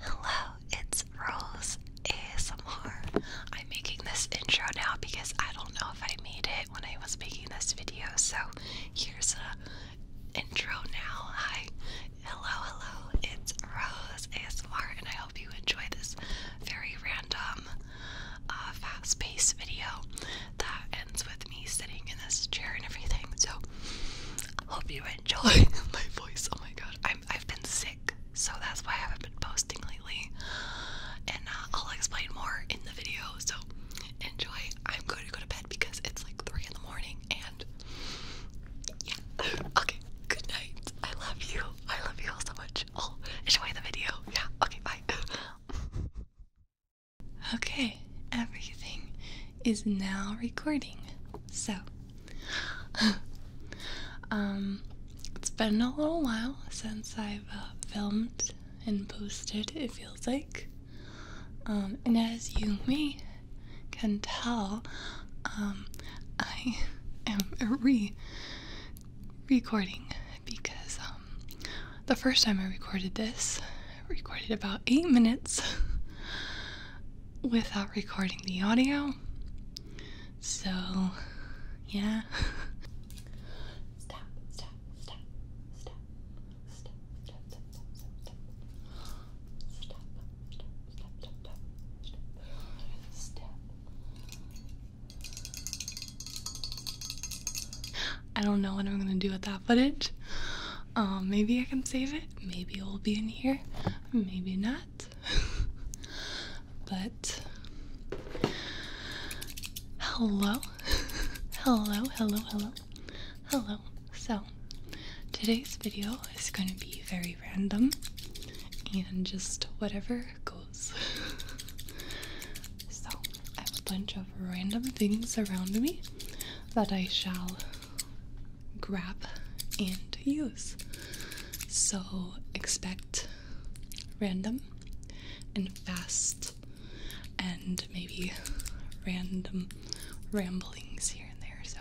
Hello, it's Rose ASMR. I'm making this intro now because I don't know if I made it when I was making this video, so here's a intro now. Hi, hello, hello, it's Rose ASMR, and I hope you enjoy this very random, uh, fast-paced video that with me sitting in this chair and everything. So, hope you enjoy my voice. Oh my god, i have been sick, so that's why I haven't been posting lately. And uh, I'll explain more in the video. So, enjoy. I'm going to go to bed because it's like 3 in the morning and yeah. Okay, good night. I love you. I love you all so much. I'll enjoy the video. Yeah, okay, bye. Okay, everything is now recording. So, um, it's been a little while since I've uh, filmed and posted, it feels like. Um, and as you may can tell, um, I am re recording because um, the first time I recorded this, I recorded about eight minutes without recording the audio. So, yeah. Stop, stop, stop, stop, stop, stop, stop, stop, stop, stop, stop, stop, stop, stop. I don't know what I'm gonna do with that footage. Um, maybe I can save it. Maybe it will be in here. Maybe not. but hello, hello, hello, hello, hello. So today's video is going to be very random and just whatever goes. so I have a bunch of random things around me that I shall grab and use. So expect random and fast and maybe random ramblings here and there. So,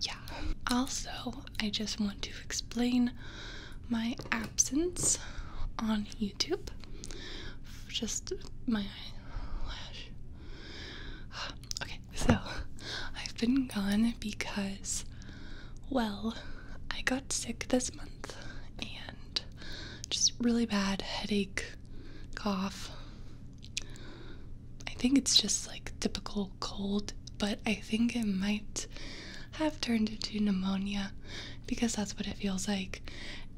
yeah. Also, I just want to explain my absence on YouTube. Just my lash. Okay, so I've been gone because, well, I got sick this month and just really bad headache, cough. I think it's just like typical cold, but I think it might have turned into pneumonia because that's what it feels like,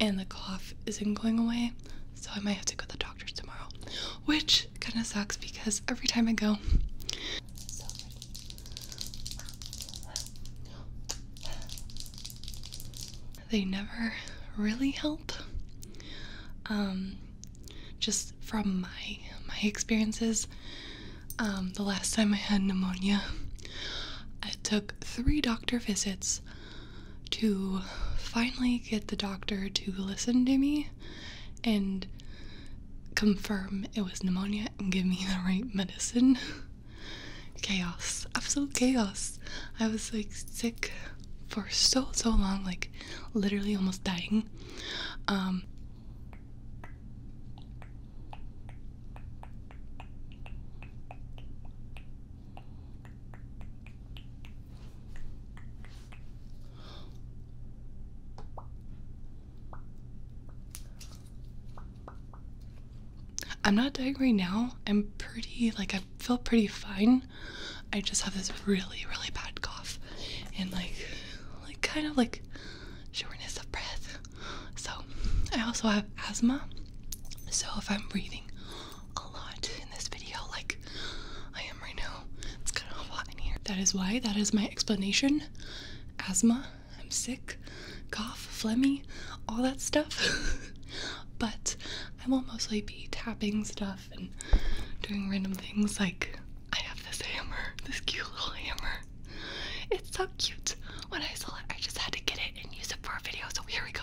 and the cough isn't going away so I might have to go to the doctor's tomorrow, which kind of sucks because every time I go. they never really help. Um, just from my my experiences, um, the last time I had pneumonia, I took three doctor visits to finally get the doctor to listen to me and confirm it was pneumonia and give me the right medicine. chaos, absolute chaos. I was like sick for so so long, like literally almost dying. Um I'm not dying right now. I'm pretty, like, I feel pretty fine. I just have this really, really bad cough and, like, like kind of like shortness of breath. So, I also have asthma. So if I'm breathing a lot in this video, like I am right now, it's kind of hot in here. That is why, that is my explanation. Asthma, I'm sick, cough, phlegmy, all that stuff. but I will mostly be tapping stuff and doing random things like I have this hammer, this cute little hammer. It's so cute. When I saw it, I just had to get it and use it for a video, so here we go.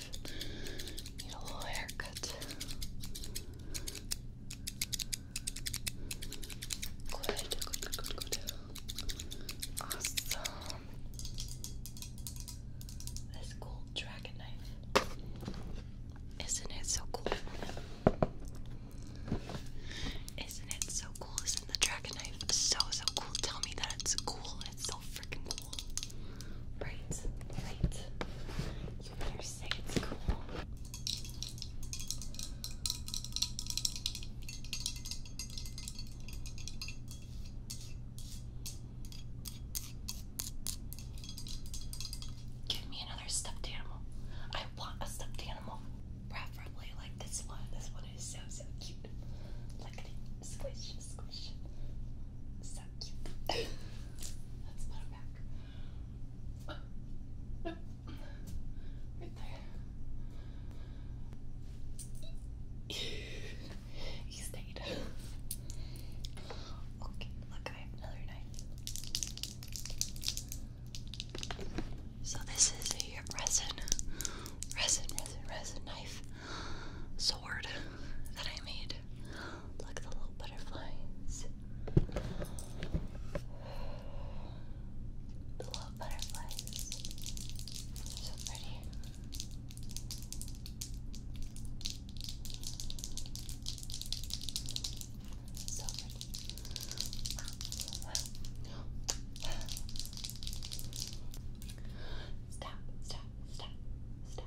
Need a little haircut. Good, good, good, good, good. Awesome. This gold dragon knife. Isn't it so cool? Isn't it so cool? Isn't the dragon knife so, so cool? Tell me that it's cool. It's so Right, right. You better say it's cool. Give me another stuffed animal. I want a stuffed animal. Preferably like this one. This one is so so cute. Look Squish, squish. So cute. Let's put it back. Oh, Right there. he stayed. Okay, look, I have another knife. So this is a resin, resin, resin, resin knife sword that I made. Look at the little butterflies. The little butterflies. So pretty. So pretty. Stop, stop, stop, stop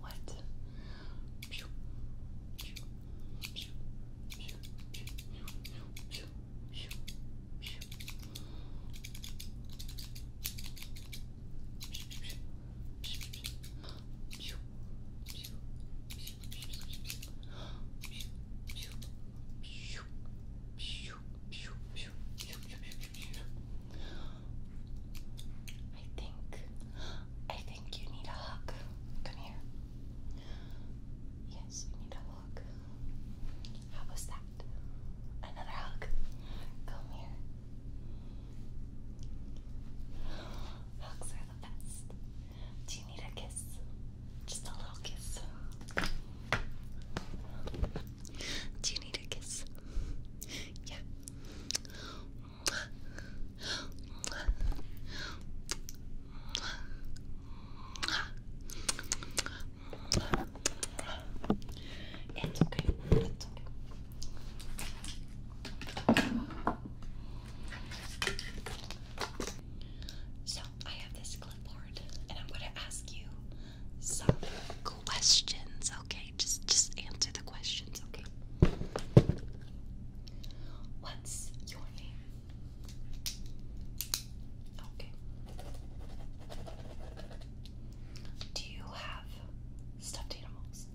what? Pew, pew, I think I think you need a hug. Come here. Yes, you need a hug. How was that? Another hug. Come here. Hugs are the best. Do you need a kiss? Just a little kiss. Do you need a kiss? Yeah. It's okay. It's okay. So I have this clipboard, and I'm going to ask you some questions, okay? Just just answer the questions, okay? What's your name? Okay. Do you have stuffed animals?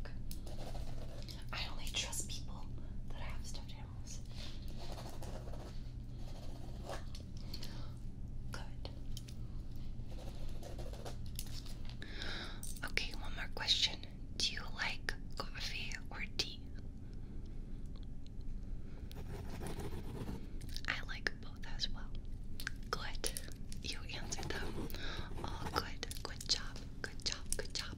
Okay. I only trust people that have stuffed animals. Okay, one more question. Do you like coffee or tea? I like both as well. Good. You answered them. All good. Good job. Good job. Good job.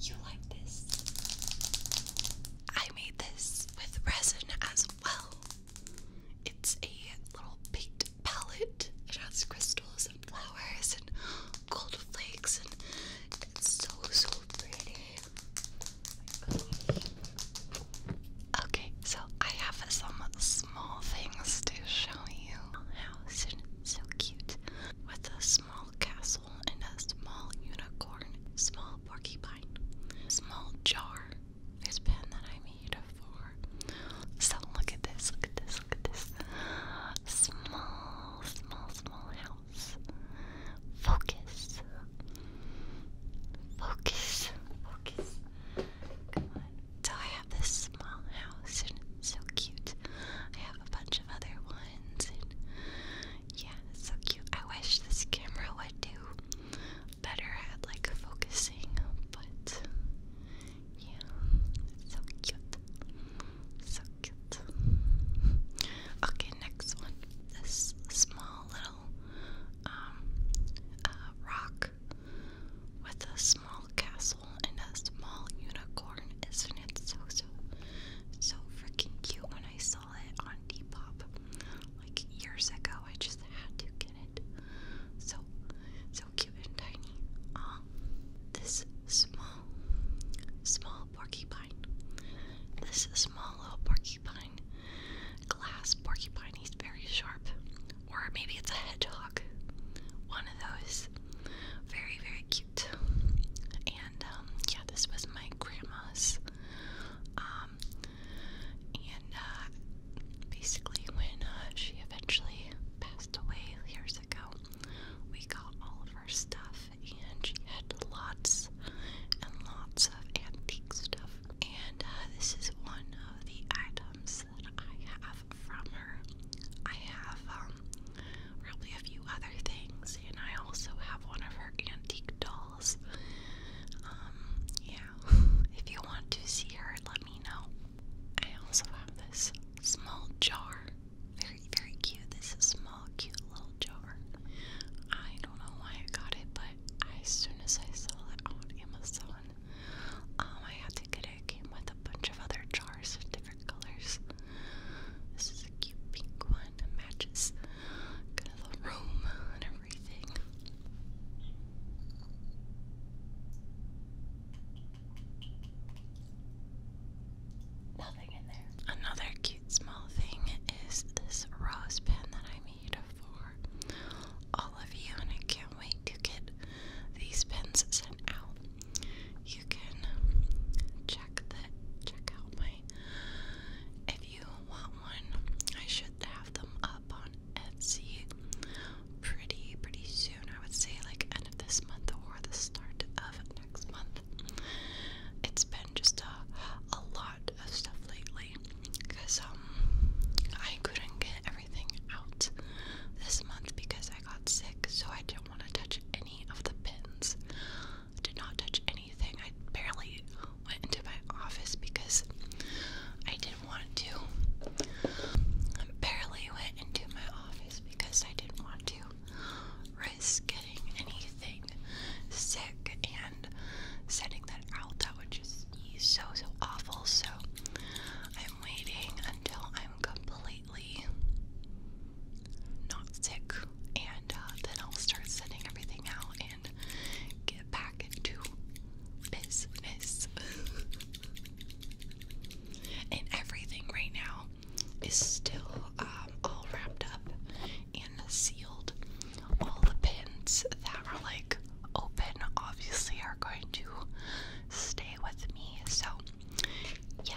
You like this? I made this with resin as well. It's a little baked palette. It has crystals and flowers and gold flakes, and it's so so pretty. Okay, so I have some small things to show you. House and so cute with a small castle and a small unicorn, small porcupine, small jar. This pen that I made for. So look at this, look at this, look at this. Small, small, small house. Focus. Focus. Focus. Come on. So I have this small house so cute. I have a bunch of other ones and yeah, so cute. I wish this camera would do better at like focusing, but yeah, so cute. So cute that. Okay, next one. This small little um, uh, rock with a small castle and a small unicorn. Isn't it so, so, so freaking cute when I saw it on Depop like years ago? I just had to get it. So, so cute and tiny. Um, this small, small porcupine. This small little porcupine porcupine. Glass porcupine, he's very sharp. Or maybe it's a hedgehog. One of those. Very, very cute. And um, yeah, this was my grandma's. Um, and uh, basically, when uh, she eventually passed away years ago, we got all of her stuff and she had lots and lots of antique stuff. And uh, this is one of the items that I have from her. I have probably um, a few other things, and I also have one of her antique dolls. Um, yeah, if you want to see her, let me know. I also have this small jar. Very, very cute. This is small cute little jar. I don't know why I got it, but as soon as I saw it on Amazon, um, I had to get it. came with a bunch of other jars of different colors. This is a cute pink one. matches kind of the room and everything. Nothing in there. Another cute small thing is this rose pin that I made for all of you, and I can't wait to get these pins sent out. You can check the check out my if you want one. I should have them up on Etsy pretty pretty soon. I would say like end of this month or the start of next month. It's been just a a lot of stuff lately because um I couldn't get everything out this month because I got sick, so I didn't want to touch any of the pins. I did not touch anything. I barely went into my office because I didn't want to. I barely went into my office because I didn't want to risk getting anything sick and sending that out, that would just be so, so awful. So I'm waiting until I'm completely not sick, and uh, then I'll start sending everything out and get back into business. and everything right now is still um, all wrapped up and sealed. All the pins that are like open obviously are going to stay with me. So, yeah.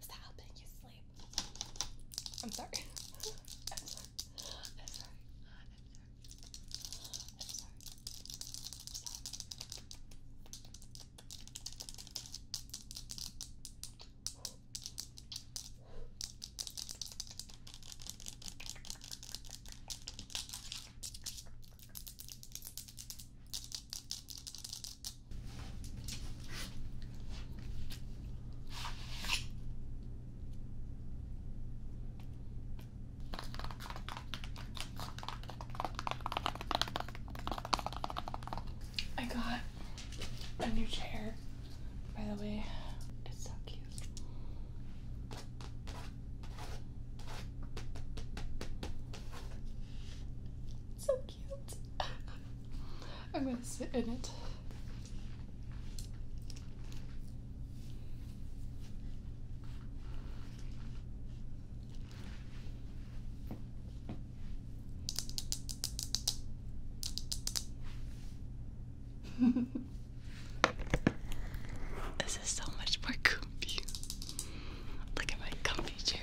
Is that how you sleep? I'm sorry. I got a new chair, by the way. It's so cute. So I'm gonna sit in it. this is so much more comfy. Look at my comfy chair.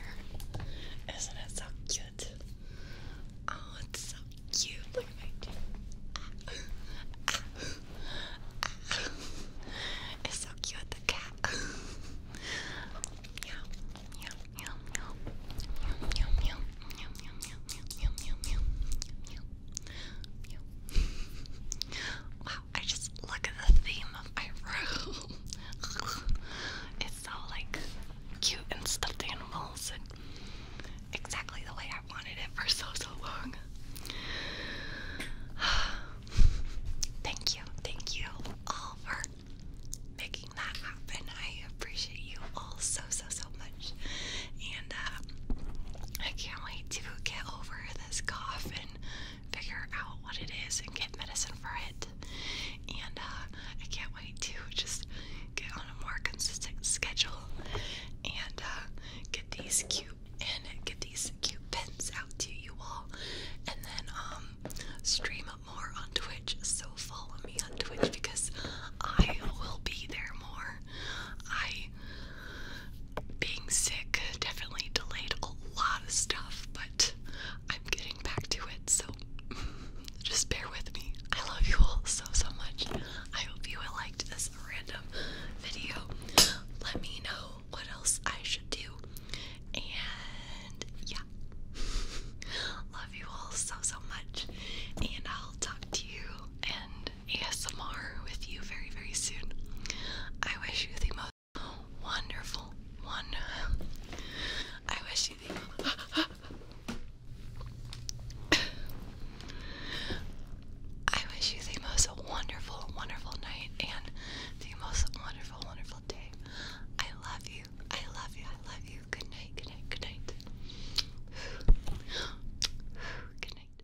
Isn't it so cute? Oh, it's so cute. Look at my teeth. It's so cute, the cat. Wow, I just look at the theme of my room. saw like cute and stuffed animals and exactly the way I wanted it for so so long. thank you, thank you all for making that happen. I appreciate you all so so so much. And uh, I can't wait to get over this cough and figure out what it is and get medicine for it and uh, I can't wait to just get on a more consistent schedule and uh, get these cute and get these cute pins out to you all, and then um stream more on Twitch. So follow me on Twitch because I will be there more. I being sick definitely delayed a lot of stuff, but I'm getting back to it, so just bear with me. I love you all so, so much. I hope you all liked this random video. Let me know what else I should do. And yeah, love you all so, so much. And I'll talk to you and ASMR with you very, very soon. I wish you the most wonderful one. I wish I wish you the most wonderful, wonderful night and the most wonderful, wonderful day. I love you. I love you. I love you. Good night. Good night. Good night. Good night.